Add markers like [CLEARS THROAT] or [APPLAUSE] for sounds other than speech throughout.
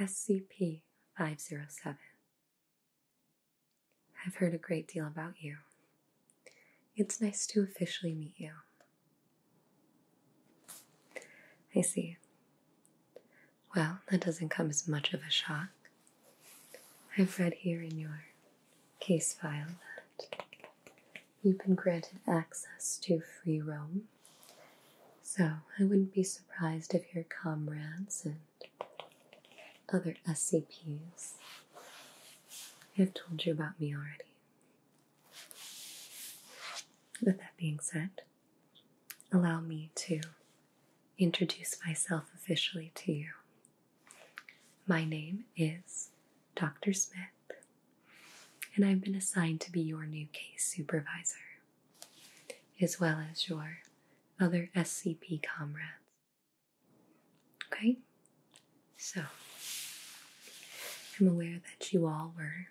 SCP 507. I've heard a great deal about you. It's nice to officially meet you I see. Well, that doesn't come as much of a shock. I've read here in your case file that you've been granted access to free roam, so I wouldn't be surprised if your comrades and other SCPs have told you about me already. With that being said, allow me to introduce myself officially to you. My name is Dr. Smith, and I've been assigned to be your new case supervisor, as well as your other SCP comrades. Okay? So, I'm aware that you all were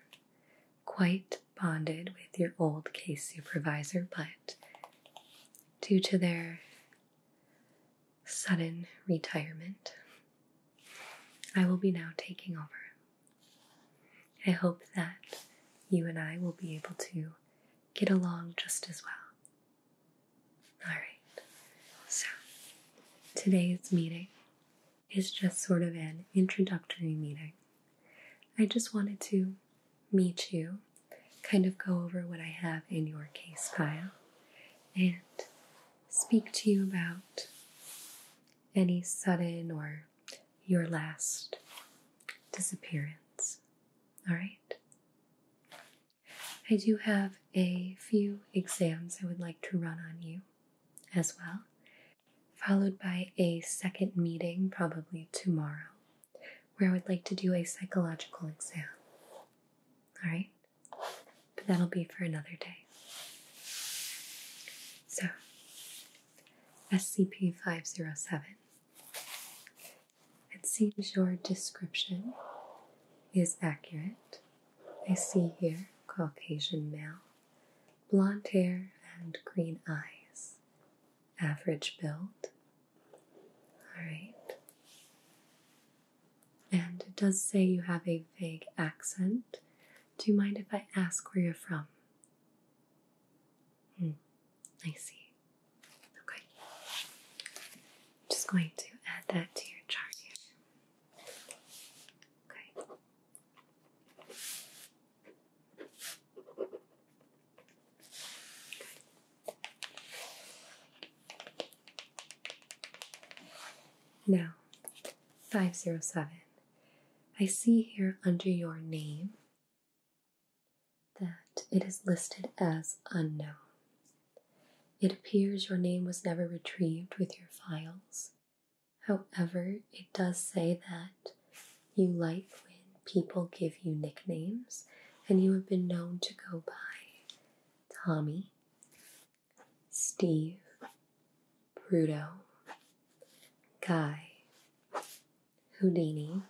quite bonded with your old case supervisor, but due to their sudden retirement, I will be now taking over. I hope that you and I will be able to get along just as well. Alright, so today's meeting is just sort of an introductory meeting. I just wanted to meet you, kind of go over what I have in your case file, and speak to you about any sudden or your last disappearance. All right? I do have a few exams I would like to run on you as well, followed by a second meeting probably tomorrow where I would like to do a psychological exam. All right? But that'll be for another day. So, SCP 507. It seems your description is accurate. I see here Caucasian male, blonde hair and green eyes, average build. All right. And it does say you have a vague accent. Do you mind if I ask where you're from? Hmm, I see. Okay. I'm just going to add that to your chart here. Okay. Now, 507. I see here under your name that it is listed as unknown. It appears your name was never retrieved with your files, However, it does say that you like when people give you nicknames, and you have been known to go by Tommy, Steve, Bruto, Guy, Houdini.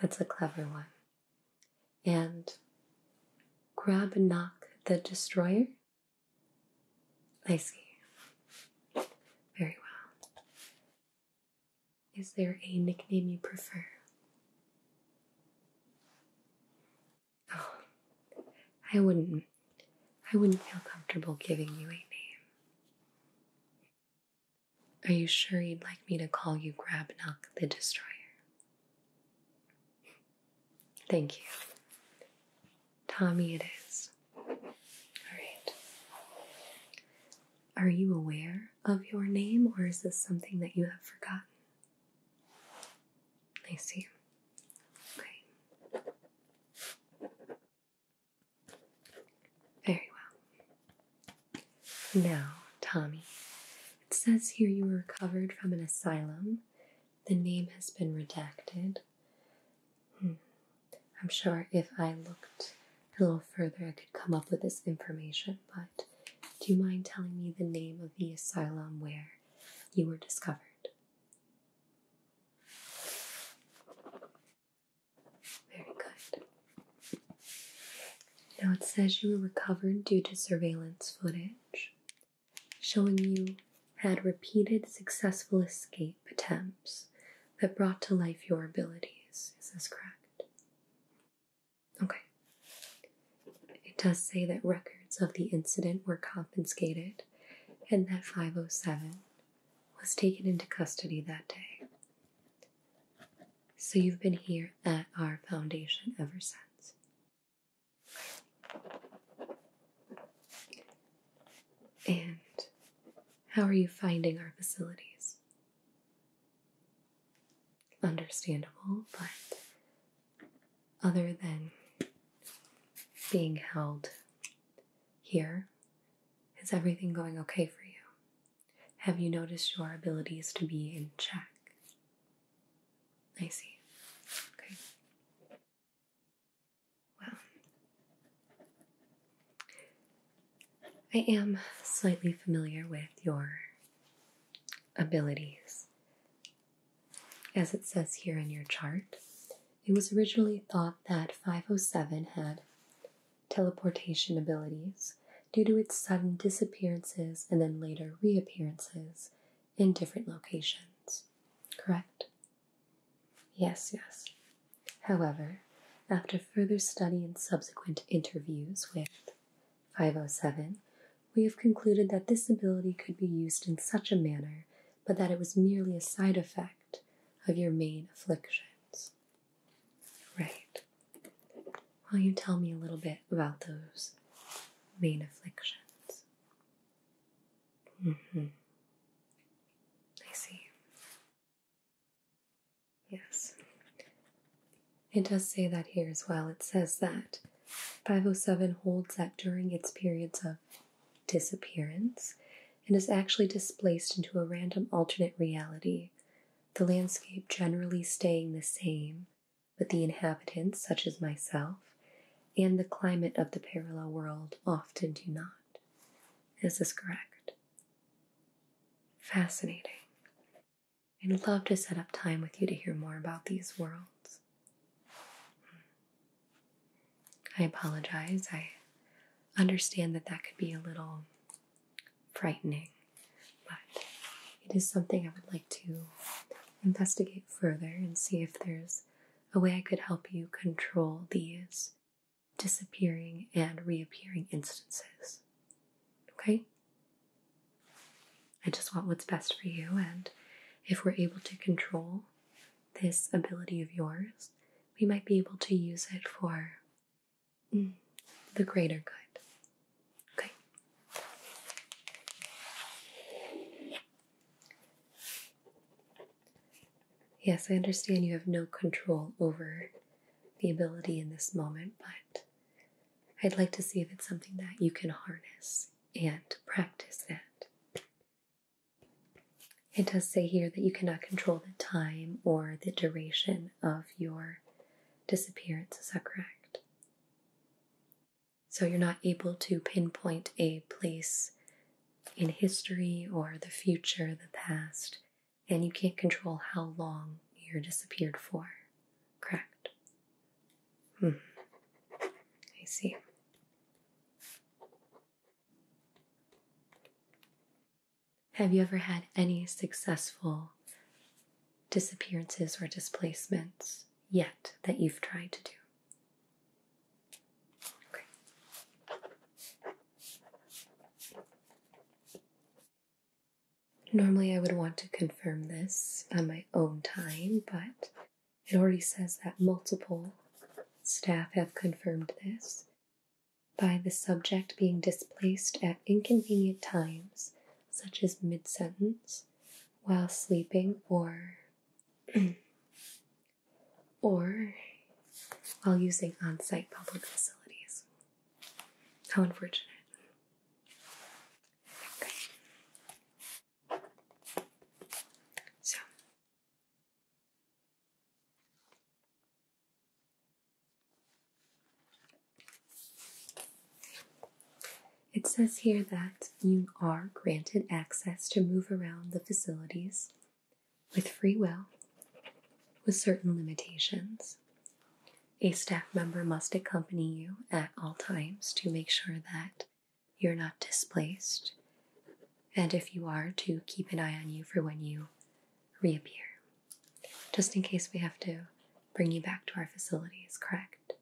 That's a clever one. And Grab Knock the Destroyer I see. Very well. Is there a nickname you prefer? Oh, I wouldn't. I wouldn't feel comfortable giving you a name. Are you sure you'd like me to call you Grabnock the Destroyer? Thank you. Tommy, it is. All right. Are you aware of your name, or is this something that you have forgotten? I see. Okay. Very well. Now, Tommy, it says here you were recovered from an asylum. The name has been redacted. Hmm. I'm sure if I looked a little further, I could come up with this information, but do you mind telling me the name of the asylum where you were discovered? Very good. Now it says you were recovered due to surveillance footage showing you had repeated successful escape attempts that brought to life your abilities. Is this correct? Okay. It does say that records of the incident were confiscated and that 507 was taken into custody that day. So you've been here at our foundation ever since. And how are you finding our facilities? Understandable, but other than being held here, is everything going okay for you? Have you noticed your abilities to be in check? I see. Okay. Wow. I am slightly familiar with your abilities. As it says here in your chart, it was originally thought that 507 had teleportation abilities due to its sudden disappearances and then later reappearances in different locations, correct? Yes, yes. However, after further study and subsequent interviews with 507, we have concluded that this ability could be used in such a manner, but that it was merely a side effect of your main afflictions. Right. Will you tell me a little bit about those main afflictions? Mm -hmm. I see. Yes. It does say that here as well. It says that 507 holds that during its periods of disappearance, it is actually displaced into a random alternate reality, the landscape generally staying the same, but the inhabitants, such as myself, and the climate of the parallel world often do not. Is This correct. Fascinating. I'd love to set up time with you to hear more about these worlds. Hmm. I apologize. I understand that that could be a little frightening, but it is something I would like to investigate further and see if there's a way I could help you control these disappearing and reappearing instances. Okay? I just want what's best for you, and if we're able to control this ability of yours, we might be able to use it for mm, the greater good. Okay? Yes, I understand you have no control over the ability in this moment, but I'd like to see if it's something that you can harness and practice It It does say here that you cannot control the time or the duration of your disappearances. is correct? So you're not able to pinpoint a place in history or the future, the past, and you can't control how long you're disappeared for. Correct? Hmm. I see. Have you ever had any successful disappearances or displacements yet that you've tried to do? Normally, I would want to confirm this on my own time, but it already says that multiple staff have confirmed this by the subject being displaced at inconvenient times, such as mid sentence, while sleeping or [CLEARS THROAT] or while using on site public facilities. How unfortunate. So, it says here that you are granted access to move around the facilities with free will, with certain limitations. A staff member must accompany you at all times to make sure that you're not displaced, and if you are, to keep an eye on you for when you reappear, just in case we have to bring you back to our facility. Is correct?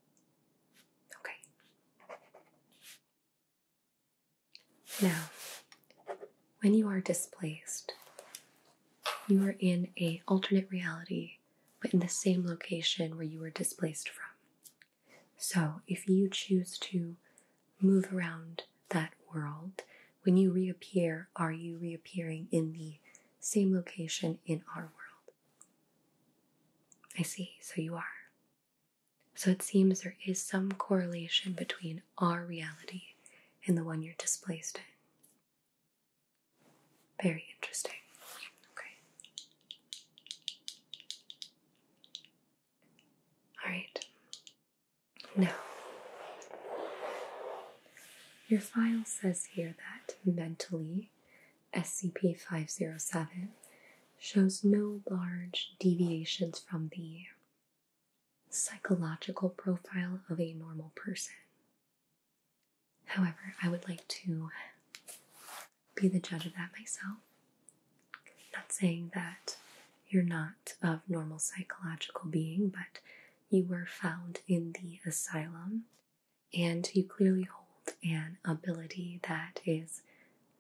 Okay. Now, when you are displaced, you are in a alternate reality, but in the same location where you were displaced from. So, if you choose to move around that world, when you reappear, are you reappearing in the same location in our world? I see, so you are. So it seems there is some correlation between our reality and the one you're displaced in. Very interesting. Okay. All right. Now, your file says here that mentally SCP 507 shows no large deviations from the psychological profile of a normal person. However, I would like to be the judge of that myself. Not saying that you're not of normal psychological being, but you were found in the asylum and you clearly hold an ability that is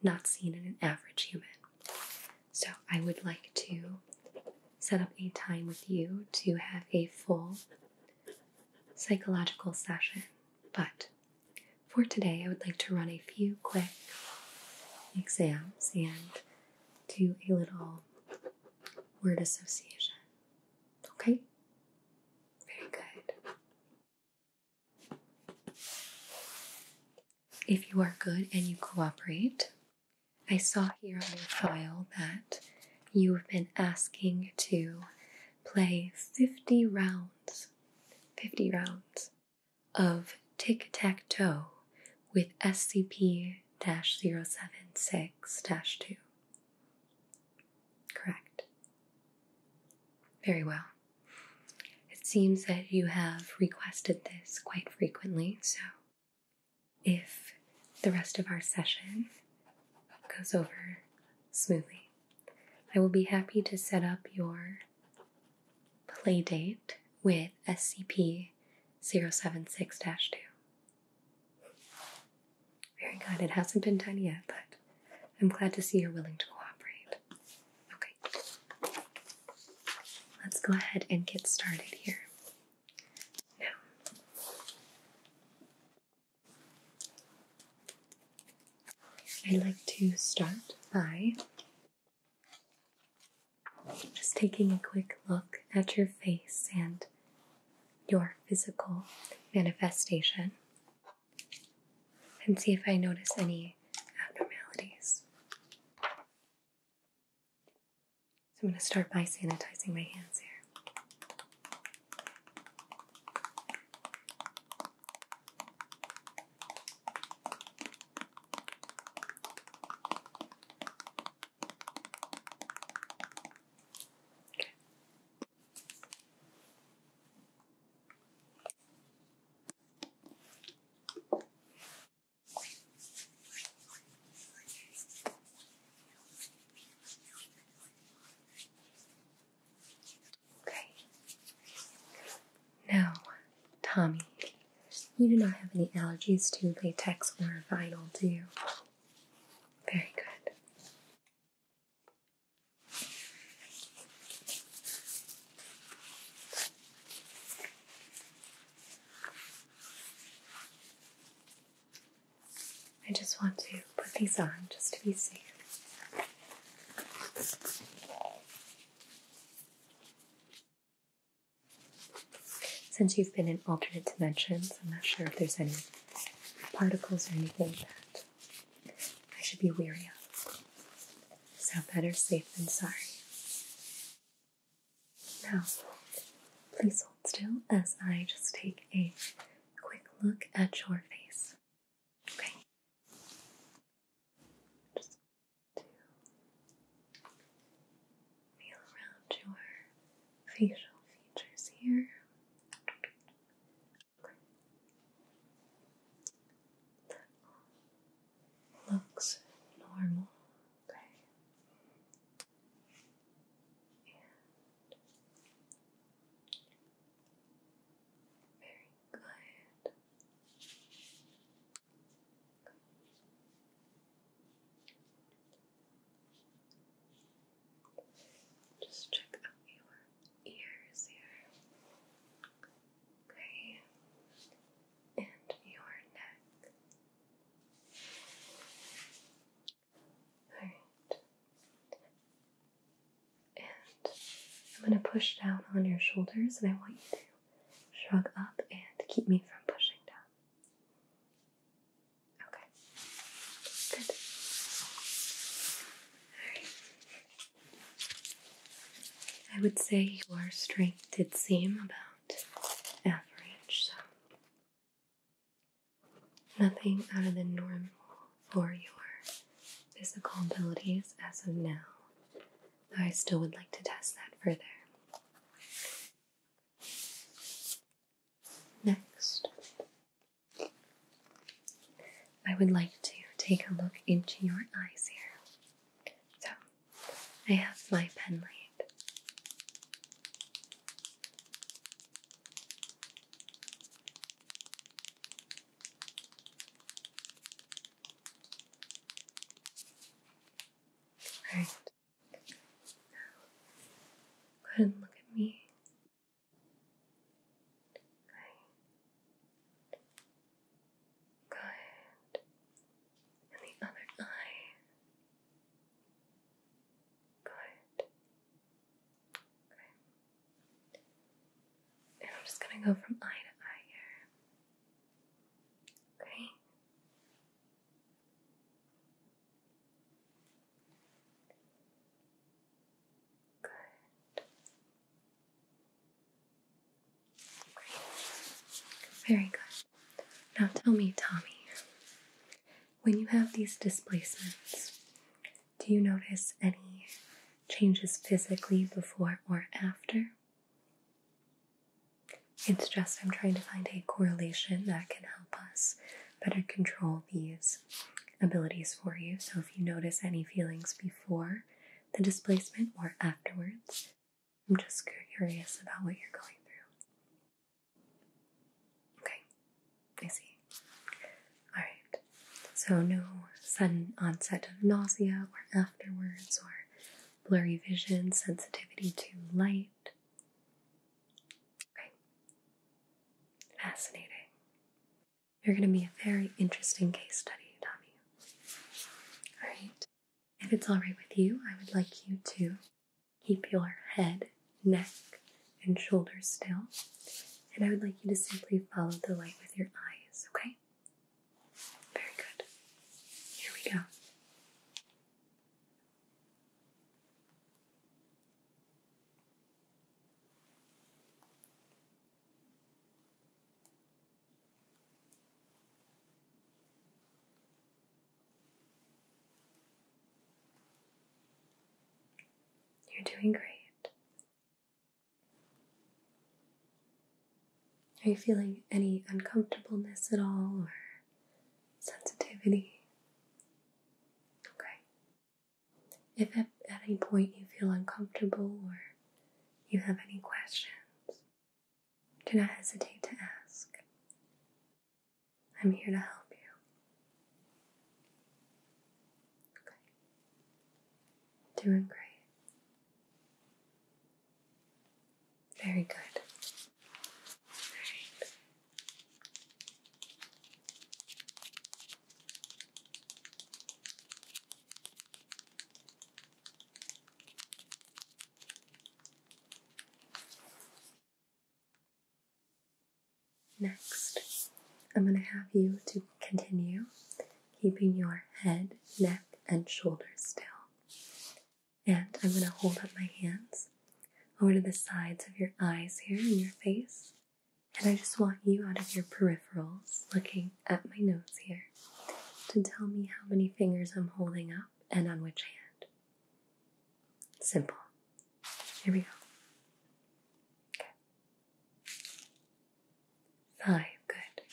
not seen in an average human. So, I would like to set up a time with you to have a full psychological session. But for today, I would like to run a few quick exams and do a little word association. Okay? Very good. If you are good and you cooperate, I saw here on your file that you have been asking to play 50 rounds, 50 rounds of tic tac toe with SCP 076 2. Correct. Very well. It seems that you have requested this quite frequently, so if the rest of our session goes over smoothly, I will be happy to set up your play date with SCP 076 2. Very good. It hasn't been done yet, but I'm glad to see you're willing to cooperate. Okay. Let's go ahead and get started here. Now, I'd like to start by just taking a quick look at your face and your physical manifestation and see if I notice any abnormalities. So I'm going to start by sanitizing my hands here. Okay. Now, Tommy, you do not have any allergies to latex or vinyl, do you? Very good. I just want to put these on just to be safe. Since you've been in alternate dimensions, I'm not sure if there's any particles or anything that I should be weary of. So better safe than sorry. Now, please hold still as I just take a quick look at your face. Okay. Just feel around your facial features here looks normal. Okay. very good. Just check out your ears here. Okay and your neck. Alright. And I'm going to push down on your shoulders, and I want you to shrug up and keep me from pushing down. Okay. Good. Alright. I would say your strength did seem about average, so nothing out of the normal for your physical abilities as of now. I still would like to test that further. Next, I would like to take a look into your eyes here. So, I have my pen light. Go ahead and look at me. Okay. Good. And the other eye. Good. Okay. And I'm just gonna go from eye to eye here. Okay. Good. Very good. Now tell me, Tommy, when you have these displacements, do you notice any changes physically before or after? It's just I'm trying to find a correlation that can help us better control these abilities for you. So if you notice any feelings before the displacement or afterwards, I'm just curious about what you're going through. Okay, I see. Alright, so no sudden onset of nausea or afterwards or blurry vision, sensitivity to light. Okay, fascinating. You're going to be a very interesting case study, Tommy. Alright, if it's alright with you, I would like you to keep your head, neck, and shoulders still. And I would like you to simply follow the light with your eyes, okay? Very good. Here we go. You're doing great. Are you feeling any uncomfortableness at all or sensitivity? Okay. If at any point you feel uncomfortable or you have any questions, do not hesitate to ask. I'm here to help you. Okay. Doing great. Very good. Next, I'm going to have you to continue keeping your head, neck, and shoulders still. And I'm going to hold up my hands over to the sides of your eyes here in your face. And I just want you out of your peripherals looking at my nose here to tell me how many fingers I'm holding up and on which hand. Simple. Here we go. Five. Good.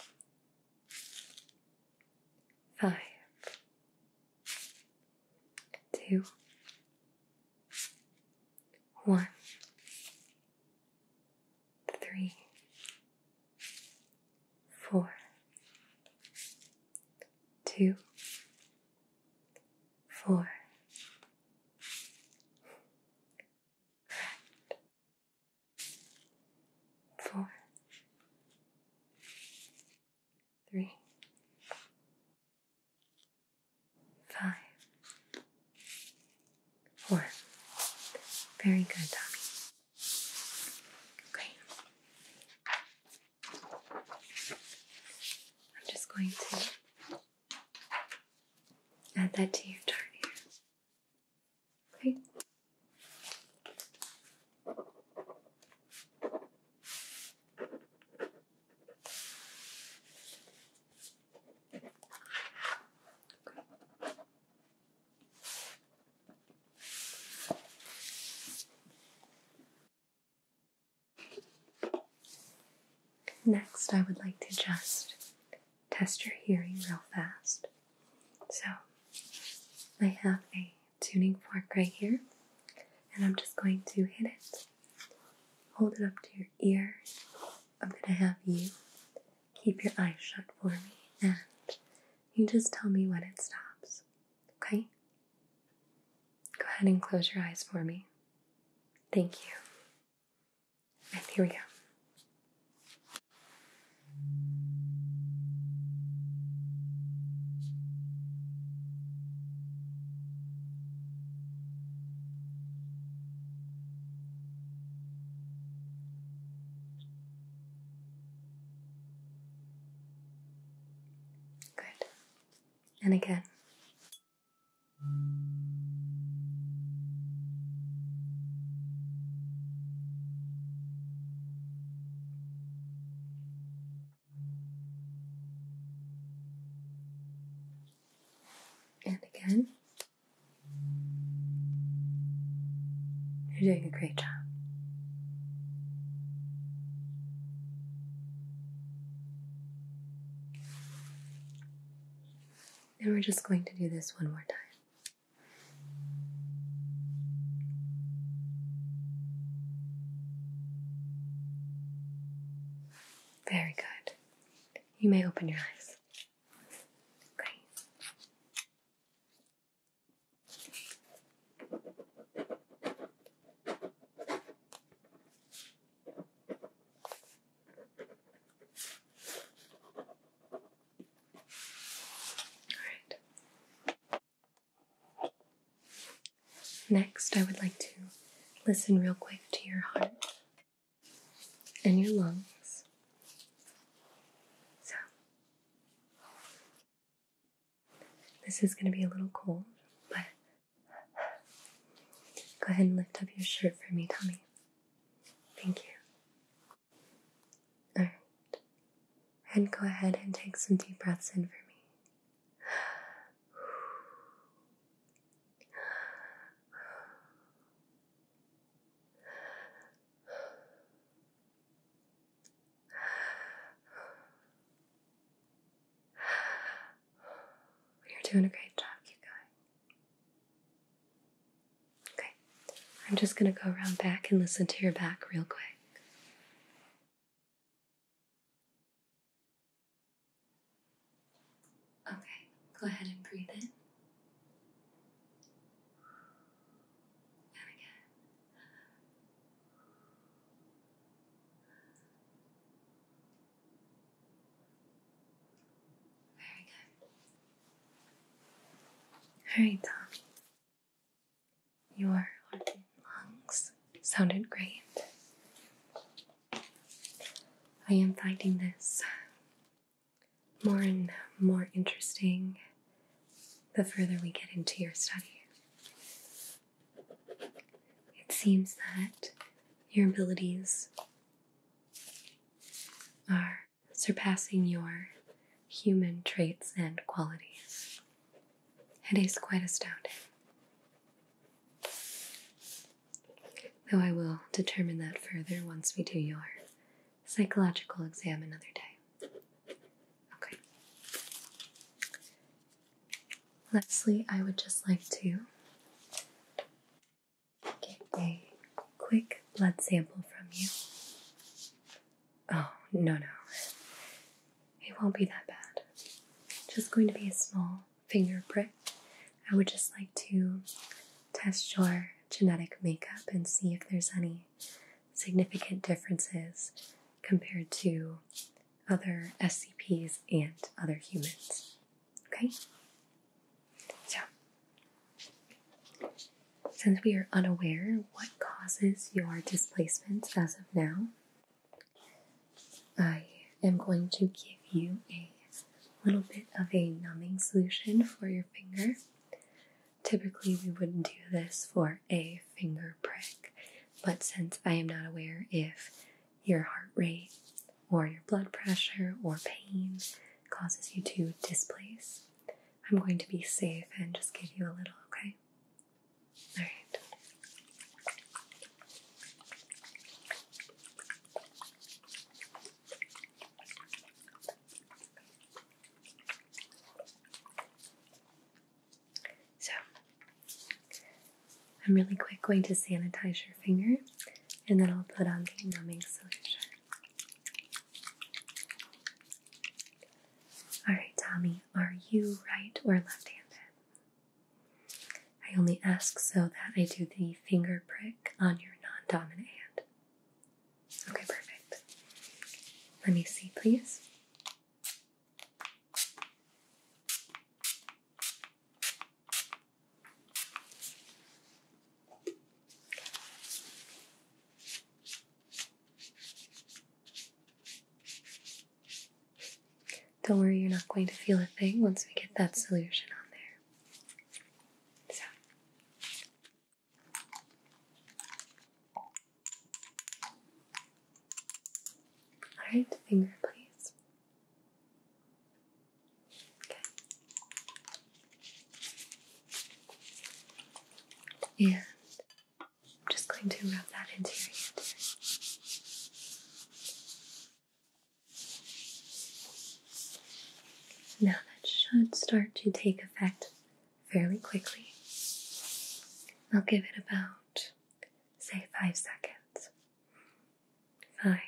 Five. Two. One. Three four, two, four. Very good, Tommy. Okay. I'm just going to add that to your chart here. Okay. Next, I would like to just test your hearing real fast. So, I have a tuning fork right here, and I'm just going to hit it, hold it up to your ear. I'm going to have you keep your eyes shut for me and you just tell me when it stops, okay? Go ahead and close your eyes for me. Thank you. And here we go. Good. And again. And again. You're doing a great job. And we're just going to do this one more time. Very good. You may open your eyes. Great. Alright. Next, I would like to listen real quick to your heart and your lungs. So, this is going to be a little cold, but go ahead and lift up your shirt for me, Tommy. Thank you. Alright. And go ahead and take some deep breaths in for me. You're doing a great job. Keep going. Okay. I'm just going to go around back and listen to your back real quick. Okay. Go ahead and breathe in. Very good. Alright, Tom. Your heart and lungs sounded great. I am finding this more and more interesting the further we get into your study. It seems that your abilities are surpassing your human traits and qualities. It is quite astounding. Though I will determine that further once we do your psychological exam another day. Okay. Lastly, I would just like to get a quick blood sample from you. Oh, no, no. It won't be that bad. Just going to be a small finger prick. I would just like to test your genetic makeup and see if there's any significant differences compared to other SCPs and other humans. Okay? So, since we are unaware what causes your displacement as of now, I am going to give you a little bit of a numbing solution for your finger. Typically, we wouldn't do this for a finger prick, but since I am not aware if your heart rate or your blood pressure or pain causes you to displace, I'm going to be safe and just give you a little, okay? Alright. So, I'm really quick going to sanitize your finger and then I'll put on the numbing solution. Alright, Tommy, are you right or left handed? I only ask so that I do the finger prick on your non dominant hand. Okay, perfect. Let me see, please. Don't worry, you're not going to feel a thing once we get that solution on there. So, all right, finger, please. Yeah, I'm just going to rub that into your hand Now that should start to take effect fairly quickly. I'll give it about, say, five seconds. Five,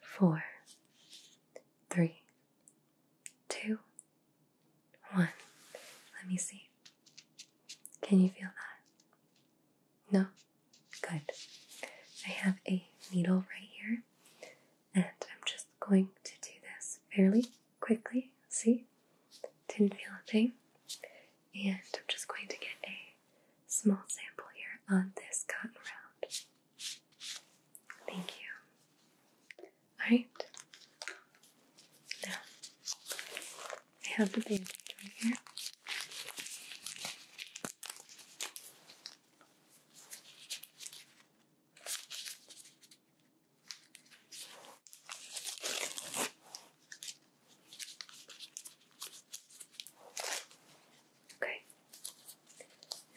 four, three, two, one. Let me see. Can you feel that? No? Good. I have a needle right here, and I'm just going to do this fairly quickly. See? Didn't feel a thing. And I'm just going to get a small sample here on this cotton round. Thank you. Alright. Now, I have the bandage right here. Okay,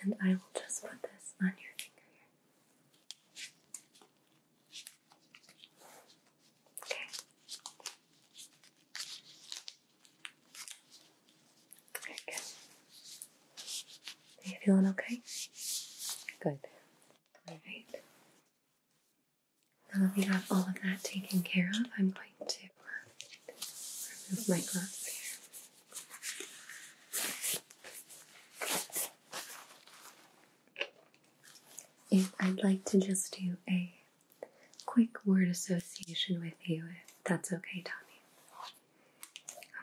and I will just put this on your finger here. Okay. Are you feeling okay? Good. Alright. Now that we got all of that taken care of, I'm going to uh, remove my gloves here. I'd like to just do a quick word association with you, if that's okay, Tommy.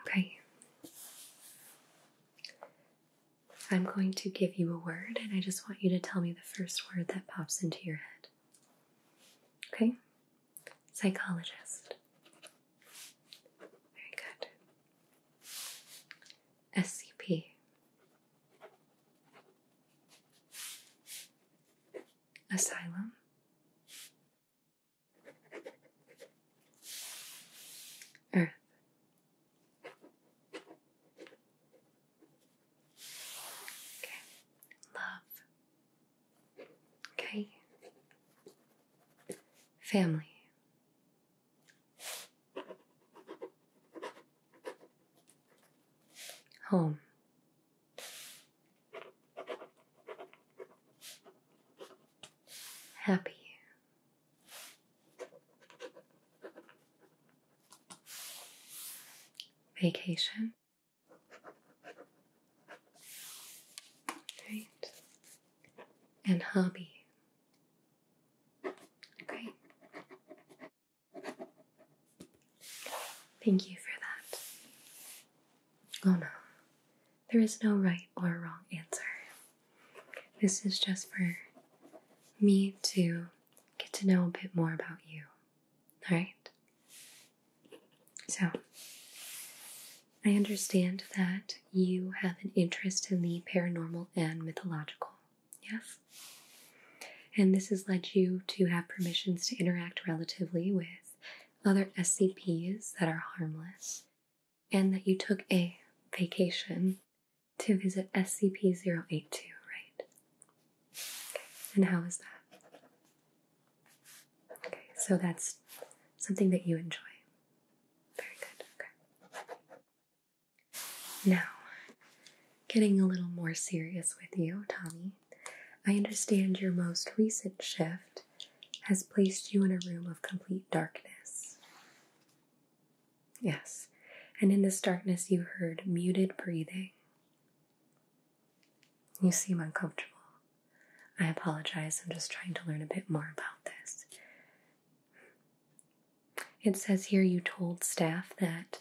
Okay. I'm going to give you a word, and I just want you to tell me the first word that pops into your head. Okay? Psychologist. Very good. SCP. Asylum. Earth. Okay, love. Okay, family. Home. Happy. Vacation. Right. And hobby. Great. Thank you for that. Oh no, there is no right or wrong answer. This is just for me to get to know a bit more about you. Alright? So, I understand that you have an interest in the paranormal and mythological, yes? And this has led you to have permissions to interact relatively with other SCPs that are harmless and that you took a vacation to visit SCP 082, right? And how was that? Okay, so that's something that you enjoy. Very good, okay. Now, getting a little more serious with you, Tommy, I understand your most recent shift has placed you in a room of complete darkness. Yes, and in this darkness you heard muted breathing. You seem uncomfortable. I apologize, I'm just trying to learn a bit more about this. It says here you told staff that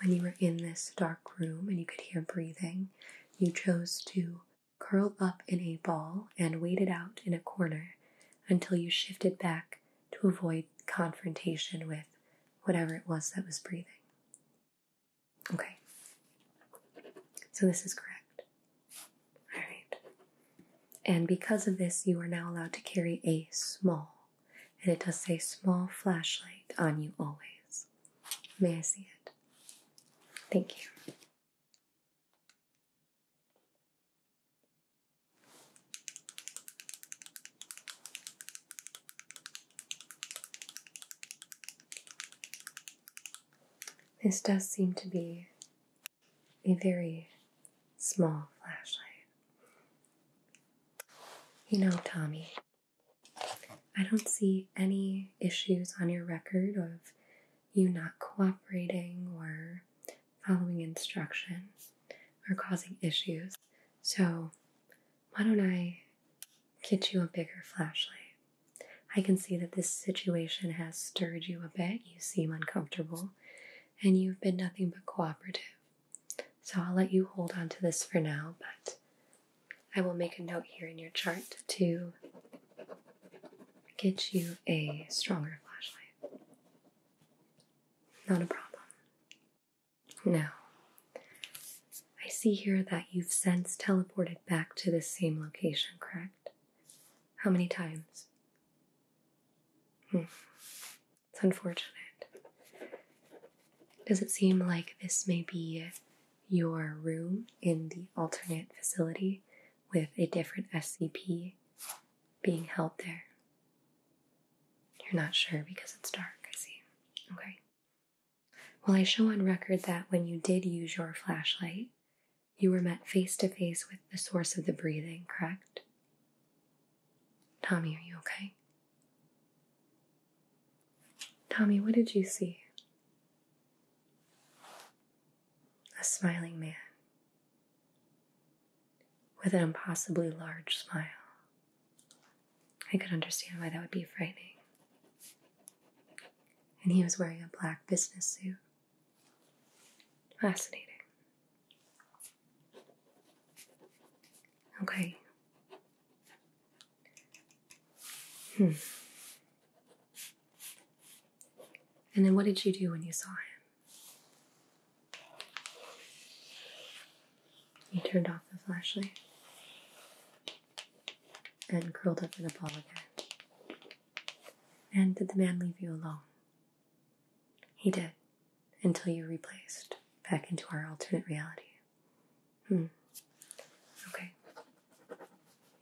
when you were in this dark room and you could hear breathing, you chose to curl up in a ball and waited out in a corner until you shifted back to avoid confrontation with whatever it was that was breathing. Okay, so this is correct. All right. And because of this, you are now allowed to carry a small, and it does say small flashlight on you always. May I see it? Thank you. This does seem to be a very small flashlight. You know, Tommy, I don't see any issues on your record of you not cooperating or following instructions or causing issues. So, why don't I get you a bigger flashlight? I can see that this situation has stirred you a bit. You seem uncomfortable and you've been nothing but cooperative. So, I'll let you hold on to this for now, but I will make a note here in your chart to get you a stronger flashlight. Not a problem. Now, I see here that you've since teleported back to the same location, correct? How many times? Hmm. It's unfortunate. Does it seem like this may be your room in the alternate facility with a different SCP being held there? You're not sure because it's dark, I see. Okay. Well, I show on record that when you did use your flashlight, you were met face to face with the source of the breathing, correct? Tommy, are you okay? Tommy, what did you see? A smiling man with an impossibly large smile. I could understand why that would be frightening. And he was wearing a black business suit. Fascinating. Okay. Hmm. And then what did you do when you saw him? He turned off the flashlight and curled up in a ball again. And did the man leave you alone? He did, until you replaced back into our alternate reality. Hmm. Okay.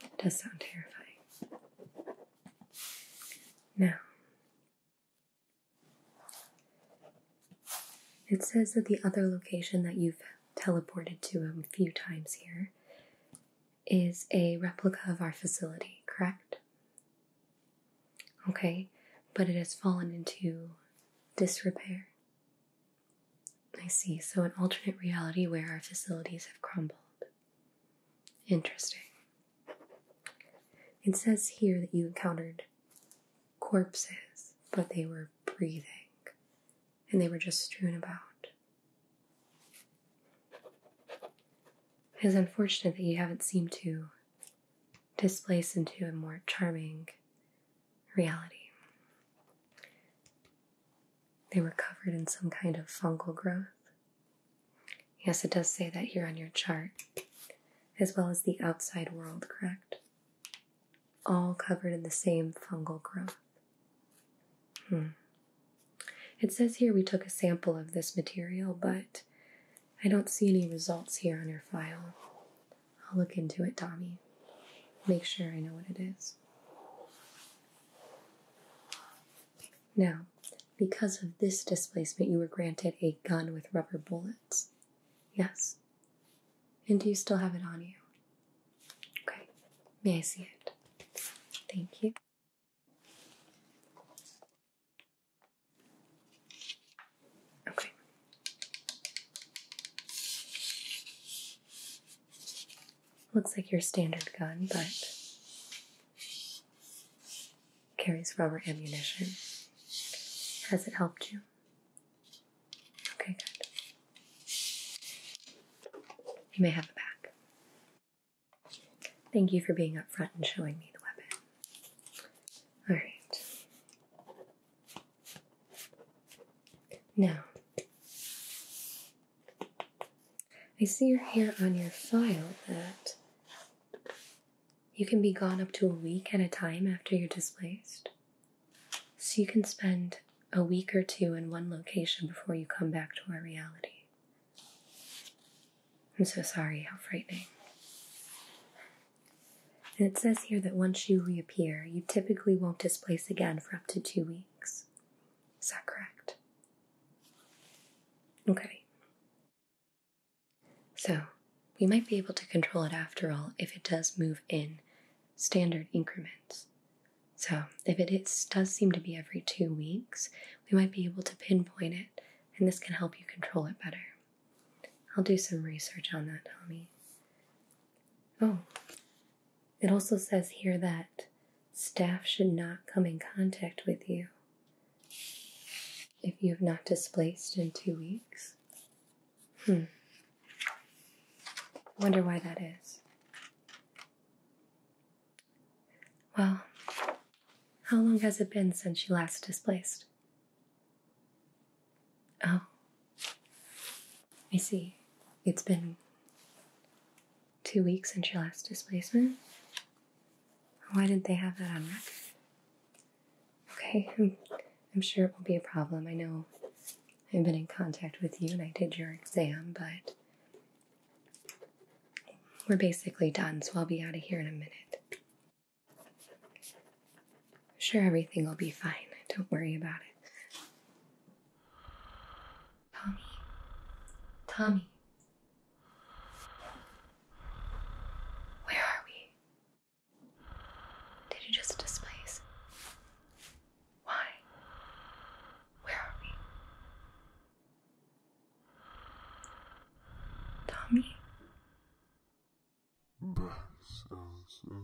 It does sound terrifying. Now, it says that the other location that you've teleported to a few times here is a replica of our facility, correct? Okay, but it has fallen into disrepair. I see, so an alternate reality where our facilities have crumbled. Interesting. It says here that you encountered corpses, but they were breathing and they were just strewn about. It is unfortunate that you haven't seemed to displace into a more charming reality. They were covered in some kind of fungal growth, Yes, it does say that here on your chart, as well as the outside world, correct? All covered in the same fungal growth. Hmm. It says here we took a sample of this material, but I don't see any results here on your file. I'll look into it, Tommy. Make sure I know what it is. Now, because of this displacement, you were granted a gun with rubber bullets. Yes. And do you still have it on you? Okay. May I see it? Thank you. Okay. Looks like your standard gun, but carries rubber ammunition. Has it helped you? Okay, good. You may have it back. Thank you for being up front and showing me the weapon. Alright. Now, I see your hair on your file that you can be gone up to a week at a time after you're displaced. So you can spend a week or two in one location before you come back to our reality. I'm so sorry, how frightening. And it says here that once you reappear, you typically won't displace again for up to two weeks. Is that correct? Okay. So, we might be able to control it after all if it does move in standard increments. So, if it does seem to be every two weeks, we might be able to pinpoint it, and this can help you control it better. I'll do some research on that, Tommy. Oh, it also says here that staff should not come in contact with you if you've not displaced in two weeks? Hmm. Wonder why that is. Well, how long has it been since you last displaced? Oh. I see. It's been two weeks since your last displacement. Why didn't they have that on record? Okay, I'm sure it won't be a problem. I know I've been in contact with you and I did your exam, but we're basically done, so I'll be out of here in a minute. sure everything will be fine. Don't worry about it. Tommy. Tommy. Where are we? Did you just displace? Why? Where are we? Tommy? So, so.